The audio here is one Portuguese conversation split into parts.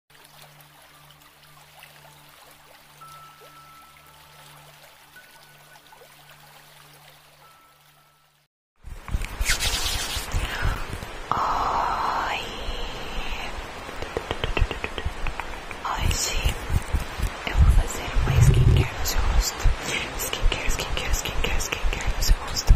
Oi, hoje eu vou fazer uma skincare no seu rosto. Skincare, skincare, skincare, skincare no seu rosto.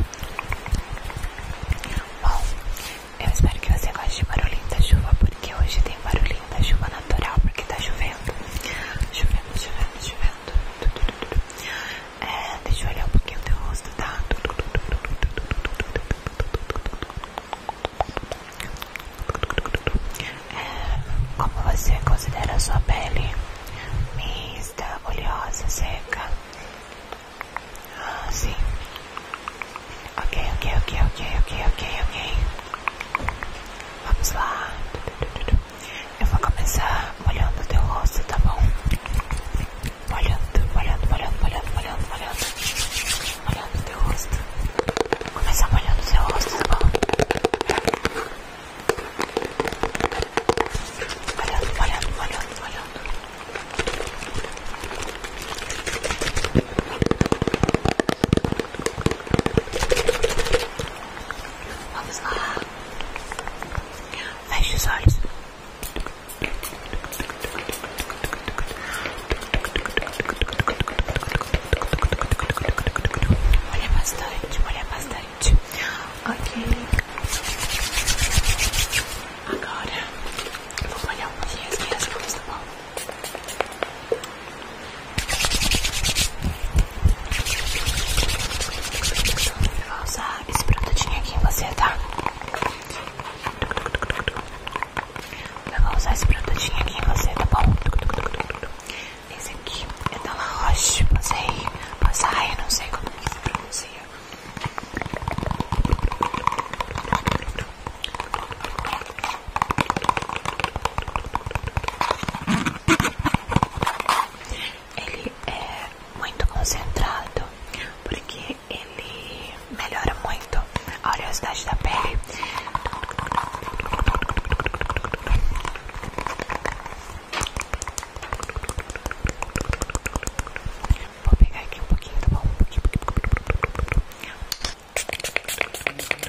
Bom, eu espero que você goste de barulhinho da chuva, porque hoje tem barulhinho da chuva natural, porque tá chovendo. Chovendo, chovendo, chovendo. deixa eu olhar um pouquinho o teu rosto, tá? como você considera a sua pele? Mista, oleosa, seca? Ah, sim. Ok, ok, ok, ok, ok, ok, ok. Vamos lá. Eu vou começar molhando o teu rosto, tá bom? olhando molhando, molhando, molhando, molhando, olhando Molhando o teu rosto. Começar molhando o teu rosto, tá bom? olhando molhando, molhando, molhando. Vamos lá. Feche os olhos. Olha bastante, olha bastante. Ok. Agora Vou molhar um pouquinho aqui das mãos, tá bom? Eu vou usar esse produtinho aqui em você, tá? Eu vou usar esse produtinho aqui em você, tá bom? Esse aqui é da La Roche, passei, passai, não sei como que se pronuncia ele é muito concentrado porque ele melhora muito a oleosidade da pele. Vou pegar aqui um pouquinho, tá bom? Um pouquinho, um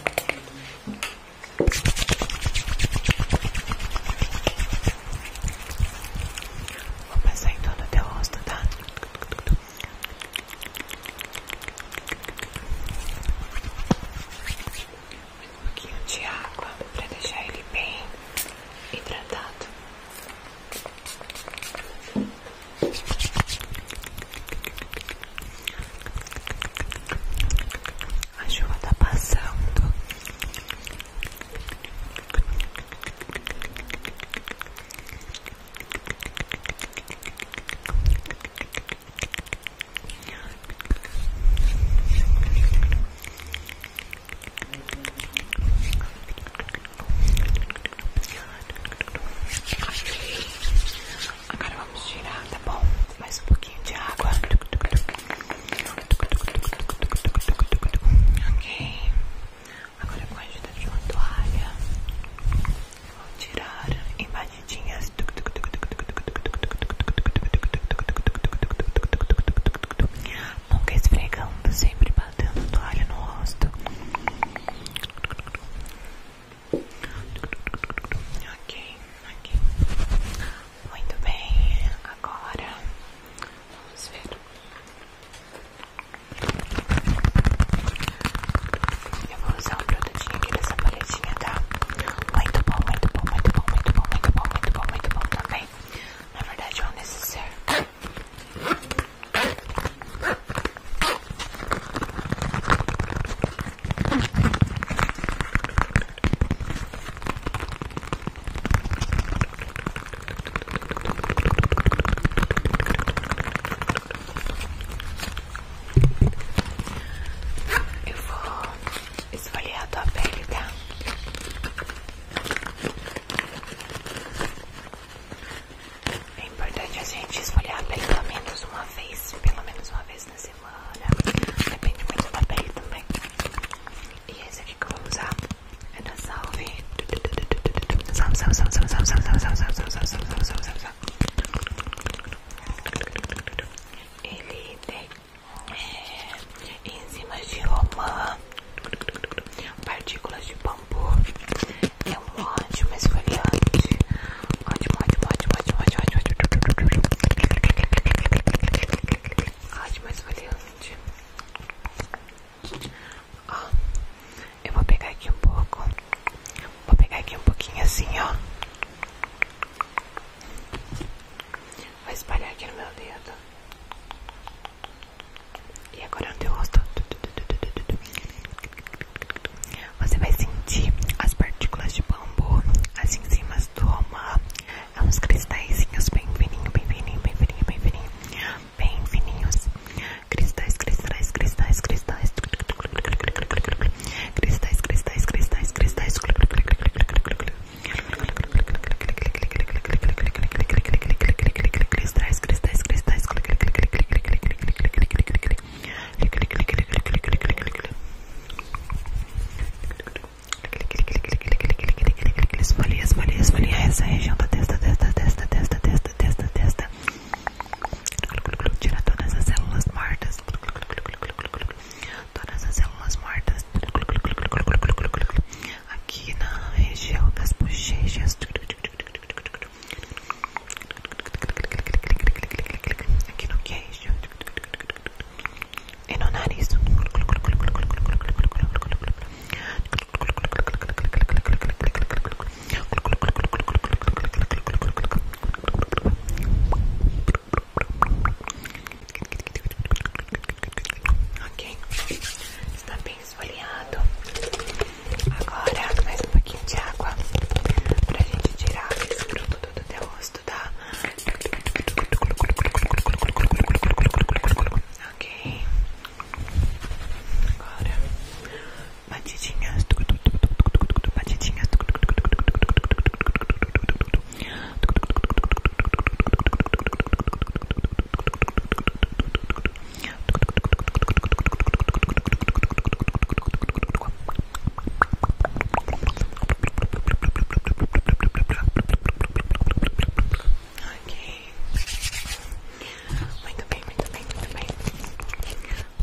pouquinho. Vou passar em todo o teu rosto, tá? Um pouquinho de água pra deixar ele bem hidratado. A chuva tá passando. Agora vamos tirar, tá bom? Mais um pouquinho de água. Ok. Agora com a ajuda de uma toalha, vou tirar em batidinhas nunca esfregando, sempre batendo toalha no rosto. Ok, ok. Muito bem, agora vamos ver. Eu vou usar o produtinho aqui dessa paletinha, tá? Muito bom, muito bom, muito bom, muito bom, muito bom, muito bom, muito bom também bem. Na verdade, é um necessário. vou esfoliar a tua pele, tá? É importante a gente esfoliar pelo menos uma vez, pelo menos uma vez na semana. Depende muito da pele também. E esse aqui que eu vou usar é da Salve. Salve, salve, salve, salve, salve, salve, salve, salve, salve, salve, salve, salve, salve. Ele tem enzimas de romã, partículas de bambu. É um ótimo esfoliante. Ótimo, ótimo, ótimo, ótimo, ótimo, ótimo. Ótimo esfoliante. Ó, eu vou pegar aqui um pouco. Vou pegar aqui um pouquinho assim, ó. Vou espalhar aqui no meu dedo. E agora no teu rosto. Você vai sentir as partículas de bambu as enzimas do romã. É uns cristalzinhos bem fininhos, bem fininhos, bem fininhos. Bem fininhos. Cristais, cristais, cristais, cristais. Cristais, cristais, cristais, cristais. Cristais, cristais, cristais. Esfolia, esfolia, esfolia essa região da testa, testa, testa, testa, testa, testa, testa. Tira todas as células mortas todas as células mortas aqui na região das bochechas, aqui no queijo e no nariz. Ok, está bem esfoliado. Agora mais um pouquinho de água para a gente tirar esse produto do teu rosto, tá? Ok, agora batidinhas, batidinhas. Okay. Make the pain, make the pain, make the pain.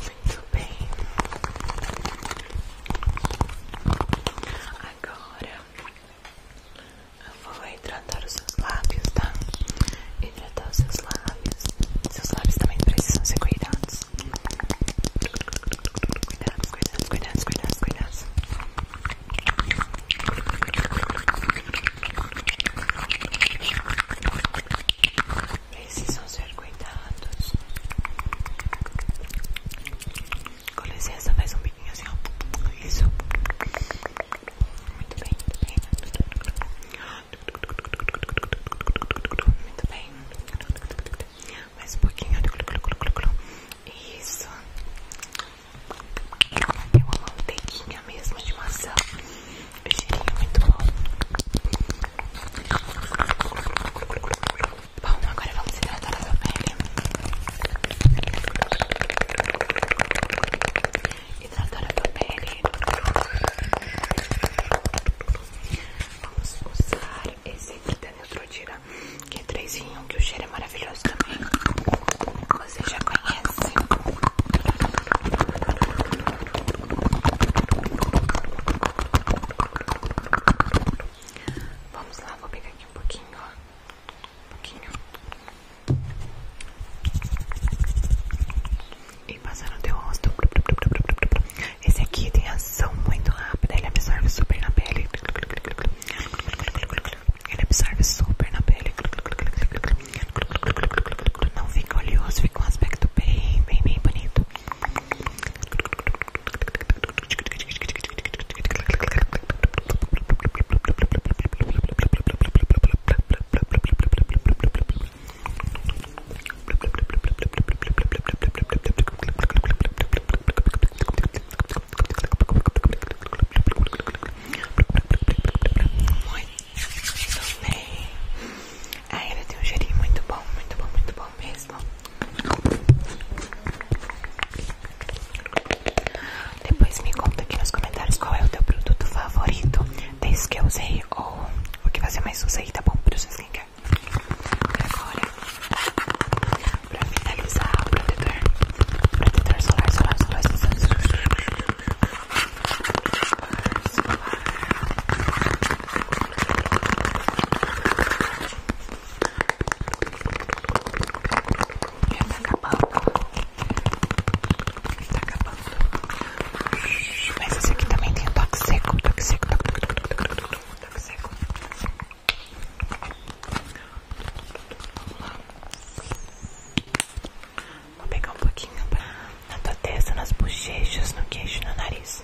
Make the pain. I go agora eu vou hidratar os seus lábios, tá? Hidratar os seus lábios. Seus lábios também precisam ser cuidados. Cuidados, cuidados, cuidados, cuidados, cuidados. Precisam ser cuidados. Com licença, faz um biquinho assim, ó. Isso. Muito bem, muito bem. Muito bem. Mais um pouquinho. Isso. Tem uma mantequinha mesmo de maçã. Cheirinho muito bom. Bom, agora vamos hidratar a sua pele. Hidratar a sua pele. Vamos usar esse aqui da que é 3 em 1, que o cheiro é maravilhoso também. Você já conhece. Vamos lá, vou pegar aqui um pouquinho, ó. Um pouquinho. E passar no teu rosto. Esse aqui tem ação muito rápida, ele absorve super na pele. Ele absorve super na pele. Não fica oleoso, fica um aspecto bem, bem, bem bonito. Muito bem. Ainda tem um cheirinho muito bom, muito bom, muito bom mesmo. Depois me conta aqui nos comentários qual é o teu produto favorito Desde que eu usei ou o que você mais usa aí, tá bom? Para o seu skincare Agora, pra finalizar o protetor Protetor solar, solar, solar, solar, solar, solar tá acabando. Tá acabando. Mas esse aqui também tem o toque seco. Toque seco, toque, toque, seco. Vou pegar um pouquinho na tua testa, nas bochechas, no queixo, no nariz.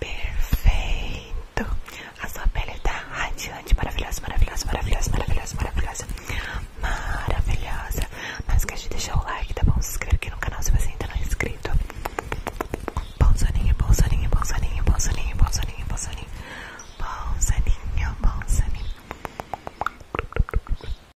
Perfeito. A sua pele tá radiante, maravilhosa, maravilhosa, maravilhosa, maravilhosa, maravilhosa. Maravilhosa. Não esquece de deixar o like, tá bom? Se inscreve aqui no canal se você ainda não é inscrito. Bom soninho, bom soninho, bom soninho, bom soninho,